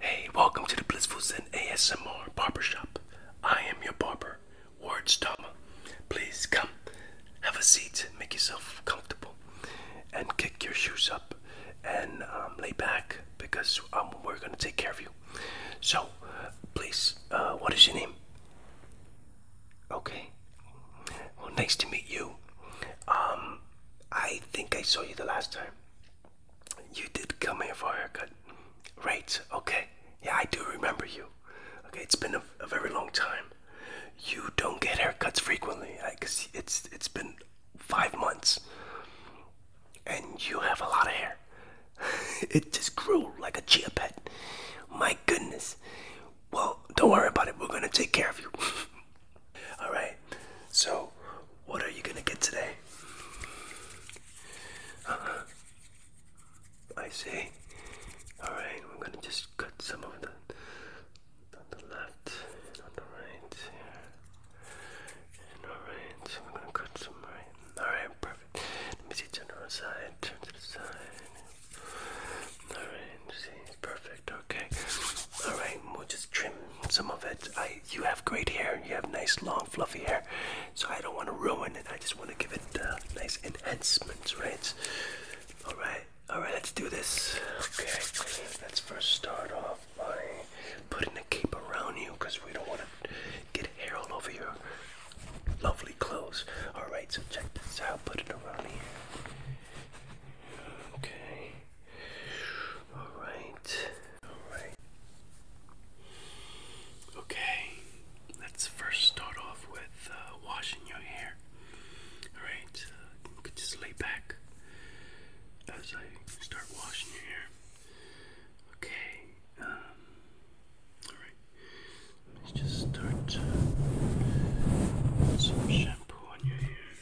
Hey, welcome to the Blissful Zen ASMR Barbershop. I am your barber, Ward Stama. Please come, have a seat, make yourself comfortable, and kick your shoes up and um, lay back because um, we're going to take care of you. So, please, uh, what is your name? Okay. Well, nice to meet you. Um, I think I saw you the last time. You did come here for a haircut, right? Okay. Yeah, I do remember you. Okay, it's been a, very long time. You don't get haircuts frequently, because it's it's been five months, and you have a lot of hair. it just grew like a chia pet. My goodness. Well, don't worry about it. We're gonna take care of you. All right. So, what are you gonna get today? Uh -huh. I see. alright we right. I'm gonna just cut some of the on the left on the right here. all right. we're gonna cut some right. All right. Perfect. Let me see, turn on side, turn to the side. Alright, see, perfect, okay. Alright, we'll just trim some of it. I, you have great hair, you have nice, long, fluffy hair, so I don't want to ruin it. I just want to give it uh, nice enhancements, right? Alright, alright, let's do this. Okay, let's first start off by putting a cape around you because we don't want to get hair all over your Lovely clothes. Alright, so check this out. Put it around here. Okay. Alright. Alright. Okay. Let's first start off with uh, washing your hair. Alright, uh, just lay back as I start washing your hair. Okay. Um, Alright. Let's just start with uh, some shampoo on your hair.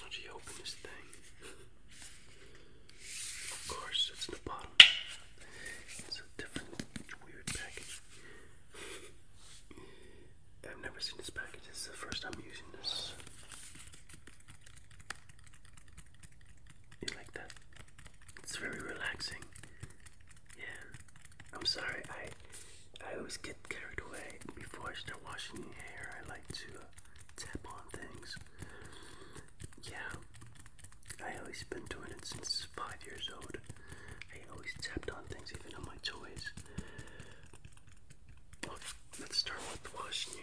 Why do you open this thing? Of course, it's the bottom. It's a different, weird package. I've never seen this package. This is the first time using this. You like that? It's very relaxing. Yeah. I'm sorry. I I always get carried away before I start washing your hair. I like to uh, tap on things. Yeah. I always been doing it since five years old. I always tapped on things, even on my toys. Well, let's start with washing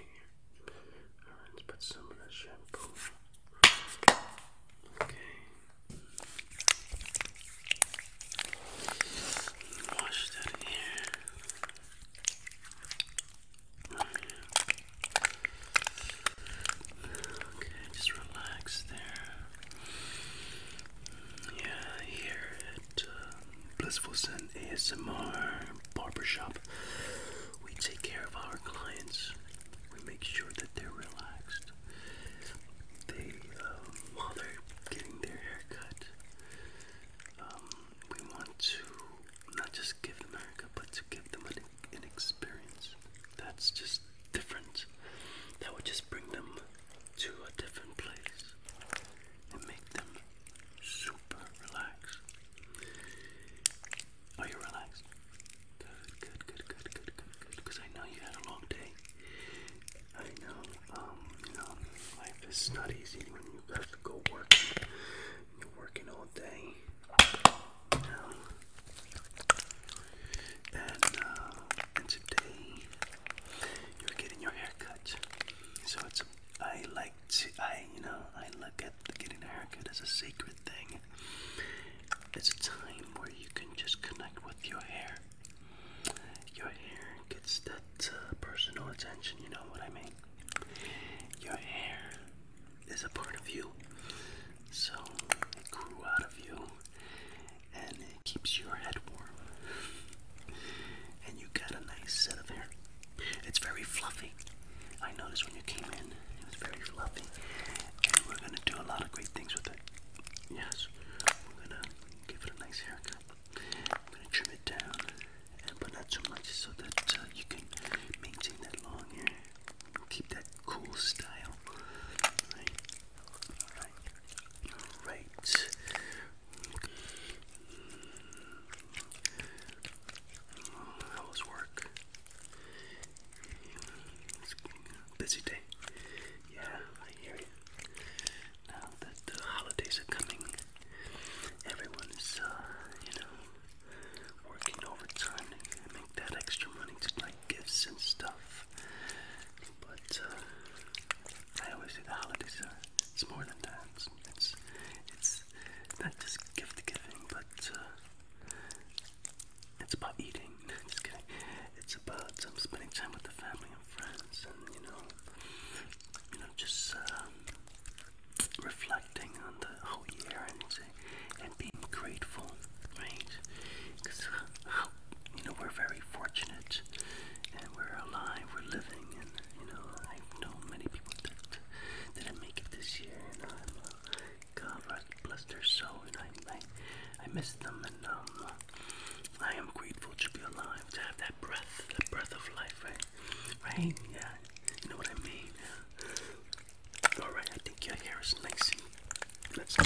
let's put some of that shampoo. Okay. Wash that hair. Okay, just relax there. Yeah, here at uh, Blissful Sun ASMR Barbershop we take care of our clients. We make sure that they're relaxed. They, um, while they're getting their haircut, um, we want to not just give them a haircut, but to give them an, an experience that's just different. That would just bring them to a different place and make them super super relaxed. Are you relaxed? Good, good, good, good, good, good, good. Because I know you had a long day. I know, um, you know, life is not easy when you have to go work. You're working all day. You uh, And, today you're getting your haircut. So it's a I like like I, you know, I look at getting a haircut as a sacred thing. It's a time where you can just connect with your hair. Your hair gets that uh, personal attention, you know what I mean? Your hair is a part of you. So it grew out of you and it keeps your head warm. And you got a nice set of hair. It's very fluffy. I noticed when you came in, it was very fluffy. we're gonna do a lot of great things with it. Yes, we're gonna give it a nice haircut. I'm gonna trim it down, and but not too much, so that uh, you can maintain that long hair, keep that cool style. All right, all right, all right. Oh, was work? busy day. Yeah, I hear you. Now that the holidays are coming, everyone is, uh, you know, working overtime to make that extra money to buy gifts and stuff. But uh, I always say the holidays are—it's more than times. It's it's it's not just gift giving, but uh, it's about eating. just kidding. It's about um, spending time with the family and friends, and you know, you know, just um, reflecting on the whole year and uh, and being grateful, right? Because uh, you know we're very fortunate, and we're alive, we're living, and you know, I've many people that didn't make it this year, and God bless their soul, and I, I, I miss them, and um, I am grateful to be alive, to have that breath, that breath of life, right? Right? Yeah, you know what I mean. Yeah. All right, I think your hair is nice. let's go.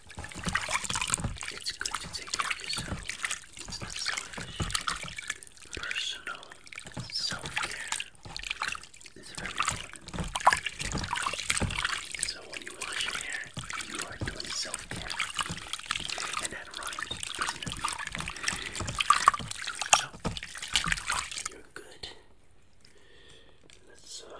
It's good to take care of yourself. It's not selfish. Personal self-care is very important. So when you wash your hair, you are doing self-care. And that rhymes, So you're good. Let's uh,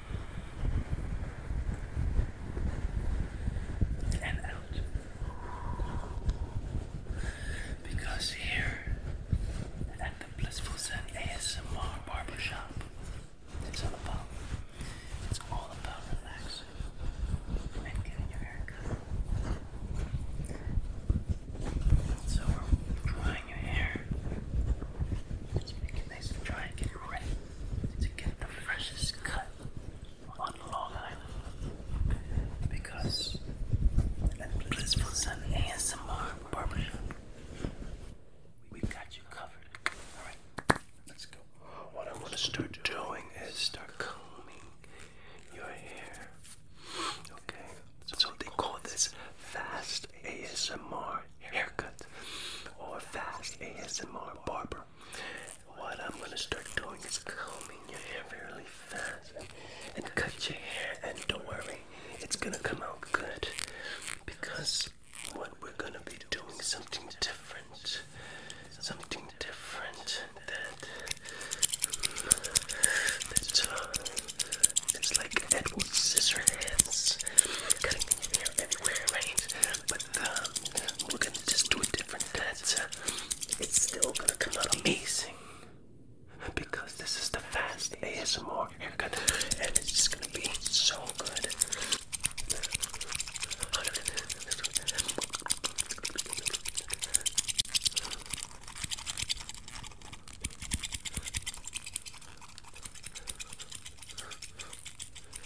and out. Because here at the Blissful Zen ASMR Barbershop, it's all about it's all about relaxing and getting your hair cut. So we're drying your hair. Just it nice and dry and it ready to get the freshest cut on Long Island because at Blissful Sun ASMR Barbershop, we've got you covered. Alright, let's go. What I'm going to start doing is start combing your hair. Okay, so they call this fast ASMR haircut or fast ASMR barber. What I'm gonna start doing is combing your hair really fast and cut your hair and don't worry, it's gonna come out good because what we're gonna be doing something different. Something different that that's uh, it's like Edward Scissorhands cutting your hair everywhere, right? but um, we're gonna just do a different dance. It's still gonna come out amazing because this is the fast ASMR and it's just gonna be so good.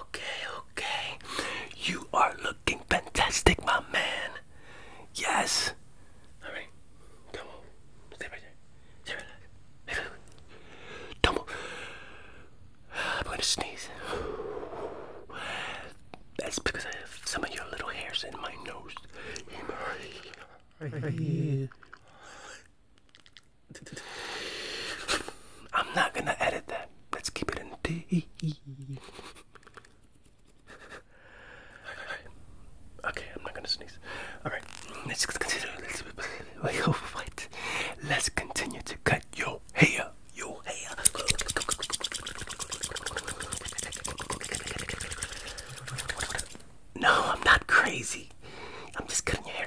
Okay, okay. You are looking fantastic, my man. Yes. All right. Come Stay right there. Stay right there. I'm gonna sneeze. That's because I have some of your little hairs in my nose. I'm not gonna edit that. Let's keep it in D. Okay, I'm not gonna sneeze. Alright, let's continue. Let's, wait, what? Let's continue to cut your hair. No, I'm not crazy. I'm just cutting your hair.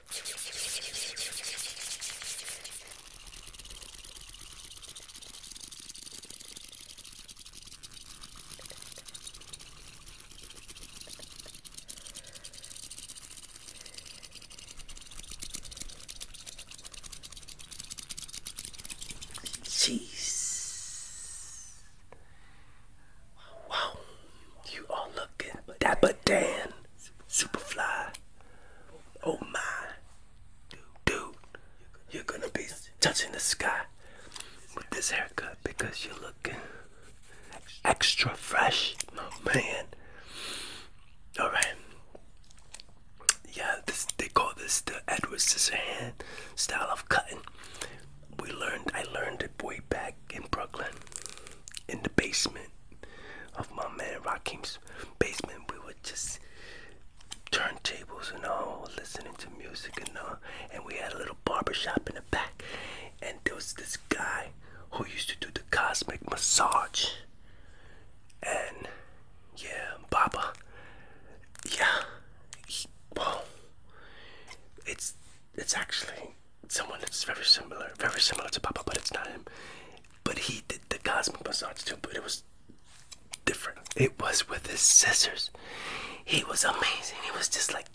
Jeez. Wow, you all look good, but that but Dan. Superfly. Oh my. Dude, you're gonna be touching the sky with this haircut because you're looking extra fresh, oh, man. All right. Yeah, they call this the Edward Scissorhand style of cutting. We learned I learned it way back in Brooklyn, in the basement of my man Rakim's basement. We would just turn tables and all, listening to music and all. And we had a little barber shop in the back. And there was this guy who used to do the cosmic massage. And yeah, Papa, Yeah. well, it's it's actually someone that's very similar, very similar to Papa, but it's not him. But he did the cosmic massage too, but it was different. It was with his scissors. He was amazing. He was just like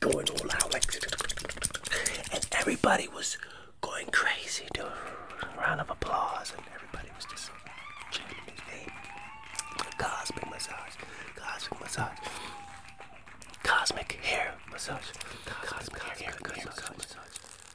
going all out, like, and everybody was going crazy. Dude, round of applause, and everybody was just chanting his name. Cosmic massage, cosmic massage, cosmic hair massage, cosmic, hair, massage.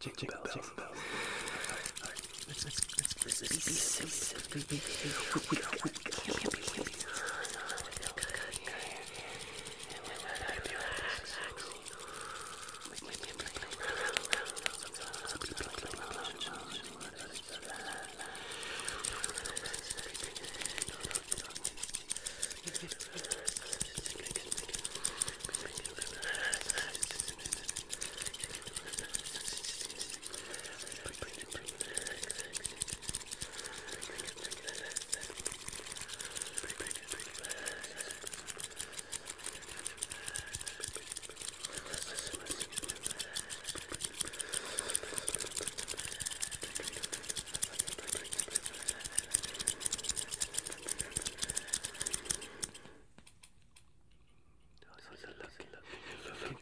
Jingle bells, jingle bells. Let's let's let's let's be simple. We can't be can't be feel good here. And when I feel relaxing, we can be playing around, around, sometimes we play around, sometimes we play around,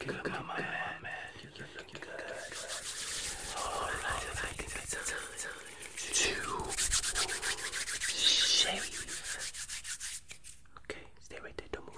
Look, look, look, looking Okay, stay right there, don't move.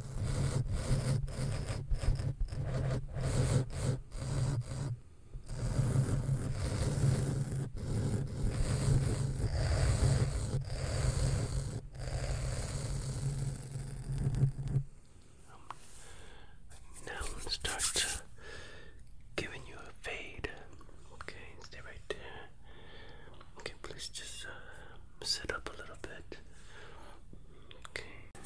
Now let's start giving you a fade. Okay, stay right there. Okay, please just uh, sit up a little bit. Okay.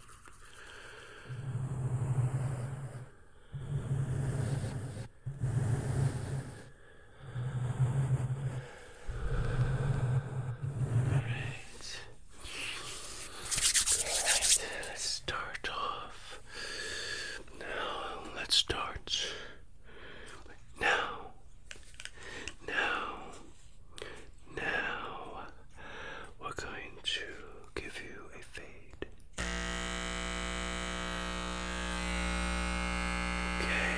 Alright. let's start off. Now, let's start. Now, now, now we're going to give you a fade. Okay.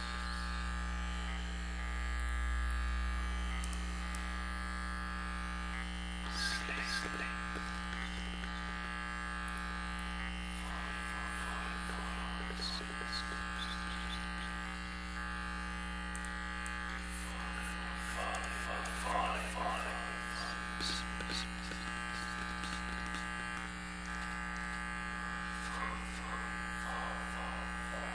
Sleep, sleep. Fall, fall, fall, fall, sleep, sleep. Fall, fall, fall, fall, fall. Fall, fall, fall, fall, fall.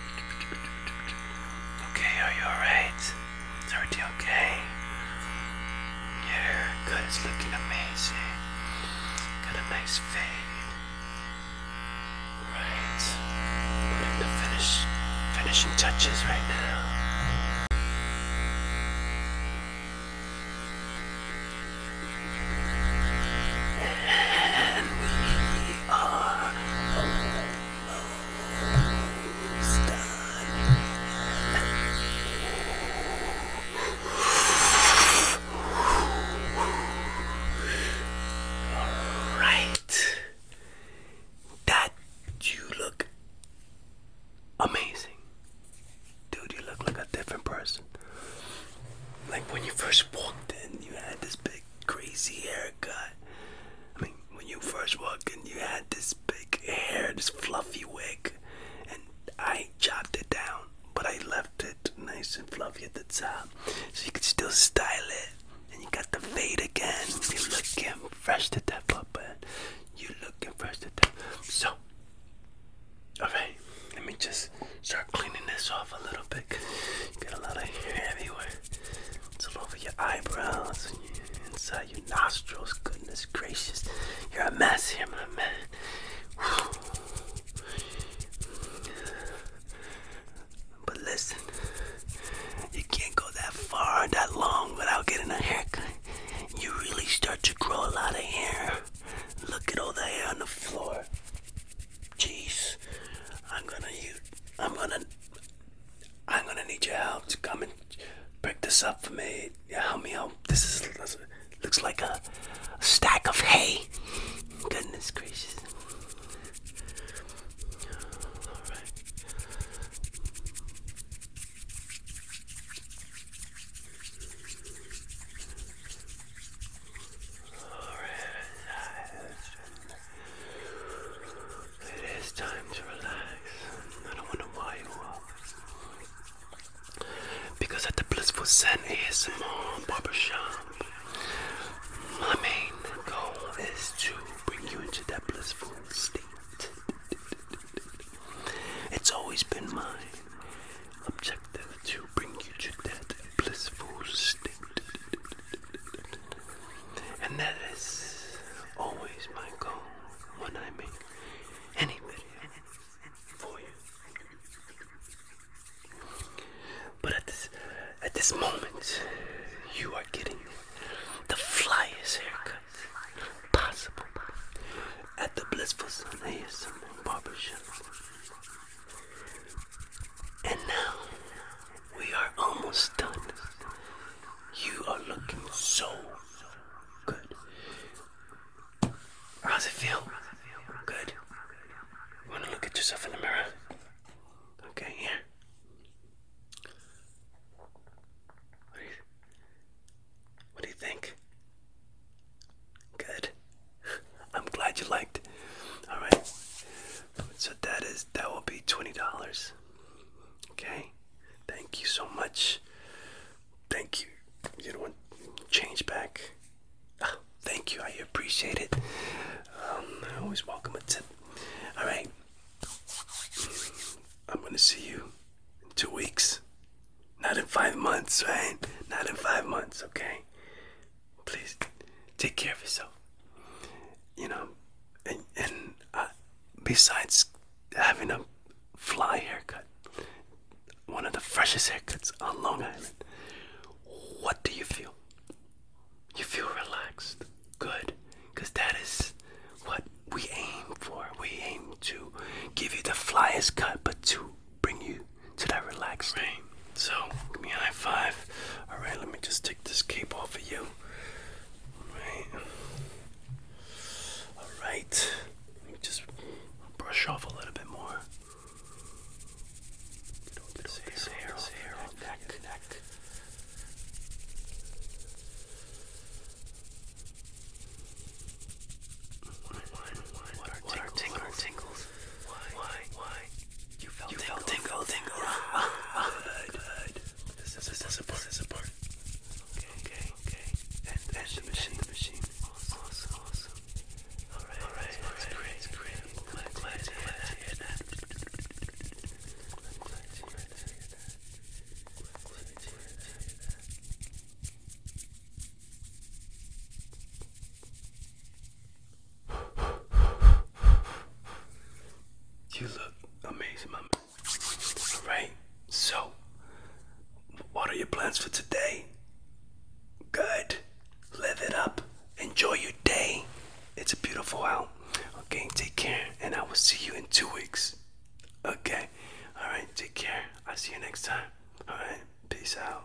Okay, are you alright? Is everything okay? Your hair cut looking amazing. Got a nice fade. Right. Putting the finish finishing touches right now. Alright. That you look amazing. Dude, you look like a different person. Like when you first walked in, you had this big crazy hair haircut. I mean, when you first walked in, you had this big hair, this fluffy wig, and I chopped it down, but I left it nice and fluffy at the top, so you could still style it. And you got the fade again. You looking fresh to death, you looking fresh to death. So, all right, let me just start cleaning this off a little bit. You got a lot of hair everywhere. It's all over your eyebrows and inside your nostrils. Goodness gracious, you're a mess here, my man. But listen, you can't go that far, that long without getting a haircut. You really start to grow a lot of hair. Look at all the hair on the floor. Jeez, I'm gonna use I'm gonna I'm gonna need your help to come and break this up for me. Yeah, help me out. This is looks like a, stack of hay. Goodness gracious. It is time to relax. I don't wonder why you are. Because at the Blissful Zen ASMR my main goal is to bring you into that blissful state. It's always been my objective to bring you to that blissful state. And that is always my goal when I make any video for you. But at this at this moment you are getting the flyest haircut possible at the blissful sun ASMR barbershop. And now we are almost done. You are looking so good. How's it feel? Good. Wanna look at yourself in the mirror? Okay, here. what do you think? Good. I'm glad you liked. Alright. So that is that will be twenty dollars. Okay, thank you so much. Thank you. You don't want change back. Ah, thank you. I appreciate it. Um, I always welcome a tip. All right. I'm gonna see you in two weeks. Not in five months, right? Not in five months, okay? please take care of yourself. You know, and and uh, besides having a fly haircut, one of the freshest haircuts on Long Island. What do you feel? You feel relaxed, good, because that is what we aim for. We aim to give you the flyest cut, but to bring you to that relaxed. Right. So, give me a high five. Alright, let me just take this cape off of you. Alright. Alright. Let me just brush off a little bit more. hair, hair, this hair on neck, neck. Why? Why? Why? You felt you tingle, tingle, tingle. tingle. Ah, ah, good, good. This is, this Okay, okay, okay. And, and machine, machine. Awesome, awesome, awesome. All right, all right, that's great, that's great. You look amazing, my man. All right. So, what are your plans for today? Good. Live it up. Enjoy your day. It's a beautiful out. Okay, take care, and I will see you in two weeks. Okay. All right. Take care. I'll see you next time. All right. Peace out.